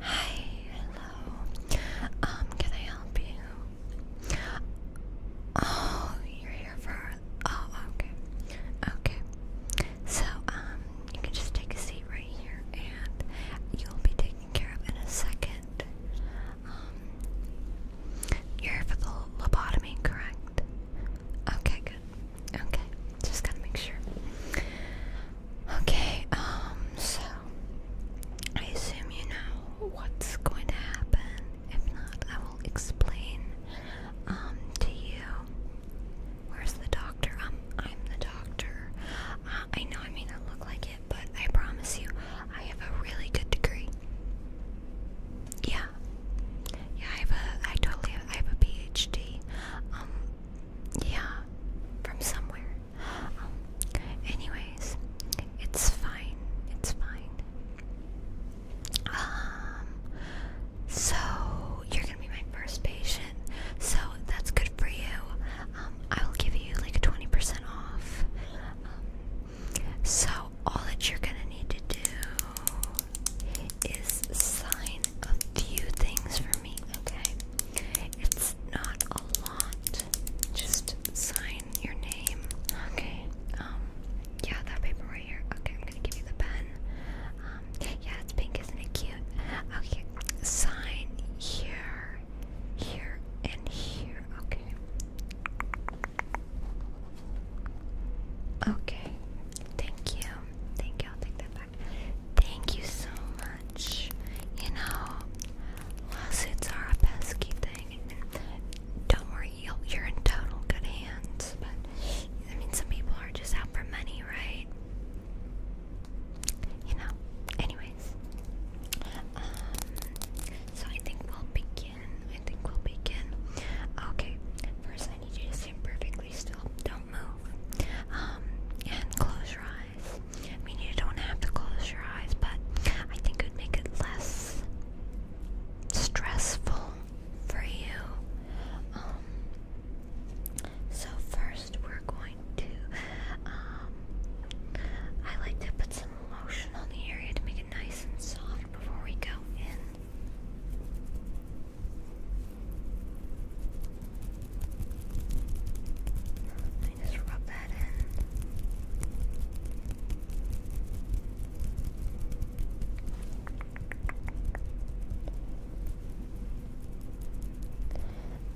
Hi, hello. Um, can I help you? Oh, you're here for. Oh, okay. Okay. So, um, you can just take a seat right here and you'll be taken care of in a second. Um, you're for the lobotomy, correct? Okay, good. Okay, just gotta make sure. Okay, um, so I assume you know what's going to happen. If not, I will explain um to you. Where's the doctor? Um, I'm the doctor. Uh, I know I may not look like it, but I promise you, I have a really good degree. Yeah, yeah, I have a, I totally, have, I have a PhD. Um, yeah, from somewhere. Um, anyways, it's fine. It's fine. Um, so you're gonna be my first patient, so that's good for you. Um, I will give you like a 20% off. Um, so all that you're gonna need to do is sign a few things for me, okay? It's not a lot. Just sign your name. Okay. Um. Yeah, that paper right here. Okay, I'm gonna give you the pen. Um. Yeah, it's pink, isn't it cute? Okay. Sign here, here, and here. Okay. Okay. Thank you. Thank you. I'll take that back. Thank you so much. You know, lawsuits are a pesky thing. Don't worry, you're in total good hands. But I mean, some people are just out for money, right? You know. Anyways, um, so I think we'll begin. I think we'll begin. Okay, first I need you to stand perfectly still. Don't move. Um, and close your eyes. I mean, you don't have to close your eyes, but I think it would make it less stressful for you. Um, so first we're going to, um, I like to put some lotion on the area to make it nice and soft before we go in. Let me just rub that in.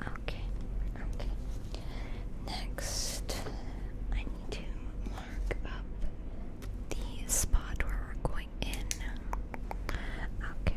Okay, okay. Next, I need to mark up the spot where we're going in. Okay,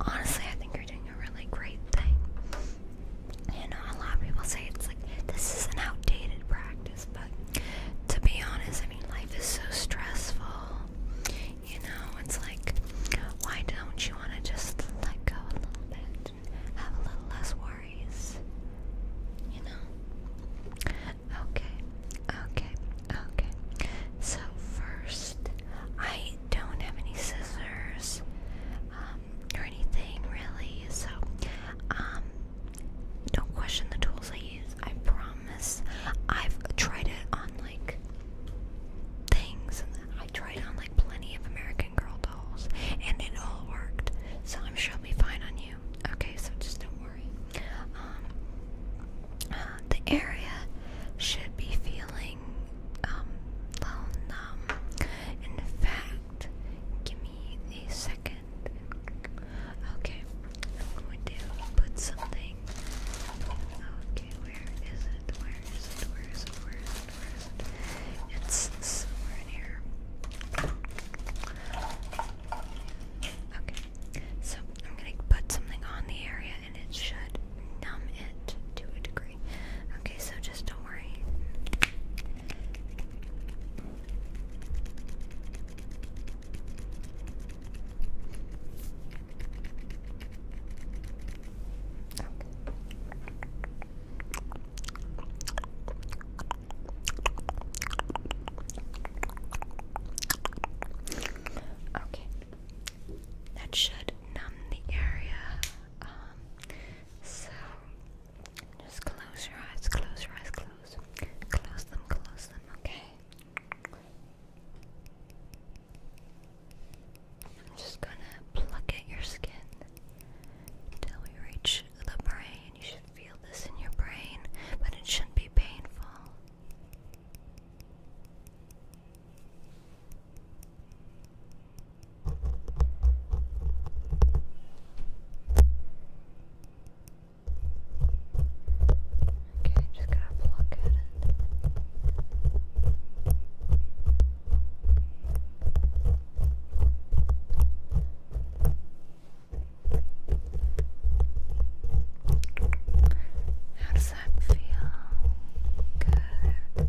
Honestly, I think you're doing a really great thing. You know, a lot of people say it's like this is an outdated practice, but to be honest, I mean, life is so stressful. You know, it's like, why don't you want to just let go a little bit have a little less worries? You know? Okay, okay, okay. So, first, I don't have any scissors. Um, or anything really. So, um, don't question the tools I use. I promise. I've tried it on like things, and I tried on like plenty of American Girl dolls, and it all worked. So I'm sure I'll be fine on you. Okay, so just don't worry. Um, uh, the area should be feeling um, in fact, give me a second. Okay, I'm going to put something. Okay, Where is it? Where is it? Where is it? Where is it? It's somewhere in here. Okay, so I'm gonna put something on the area and it should numb it to a degree. Okay, so just don't worry. Okay. that should numb the area. Um, so just close your eyes, close your eyes, close. Close them, close them, okay? I'm just gonna pluck at your skin until we reach the brain. You should feel this in your brain, but it shouldn't be painful. Okay, just gotta pluck it. How does that feel? Good.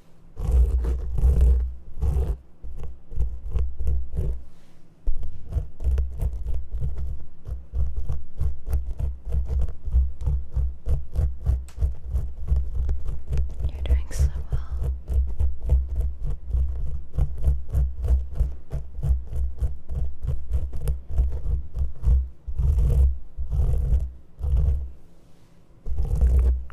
You're doing so well. Pluck,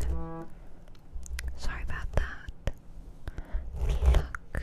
pluck. Sorry about that. Pluck,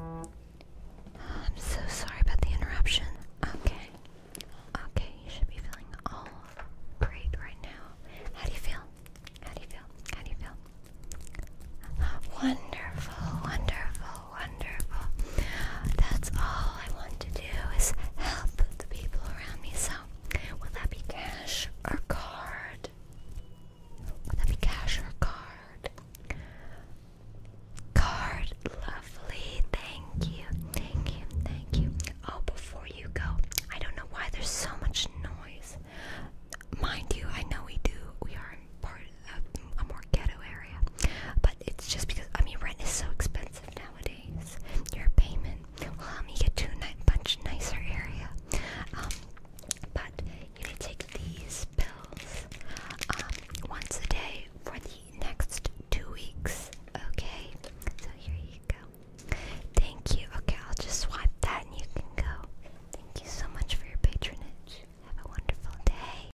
I'm so sorry about the interruption. Okay. Okay, you should be feeling all great right now. How do you feel? How do you feel? How do you feel? Wonderful, wonderful wonderful. That's all I want to do is help the people around me. So, will that be cash or card? Will that be cash or card? Card, lovely. Thank you, thank you, thank you. Oh, before you go, I don't know why there's so much noise. Mind you, I know we do, we are part of a more ghetto area. But it's just because I mean rent is so expensive nowadays. Your payment will help me get to a much nicer area. Um, but you can take these pills um, once a day for the next two weeks. Okay, so here you go. Thank you. Okay, I'll just swipe that and you can go. Thank you so much for your patronage. Have a wonderful day.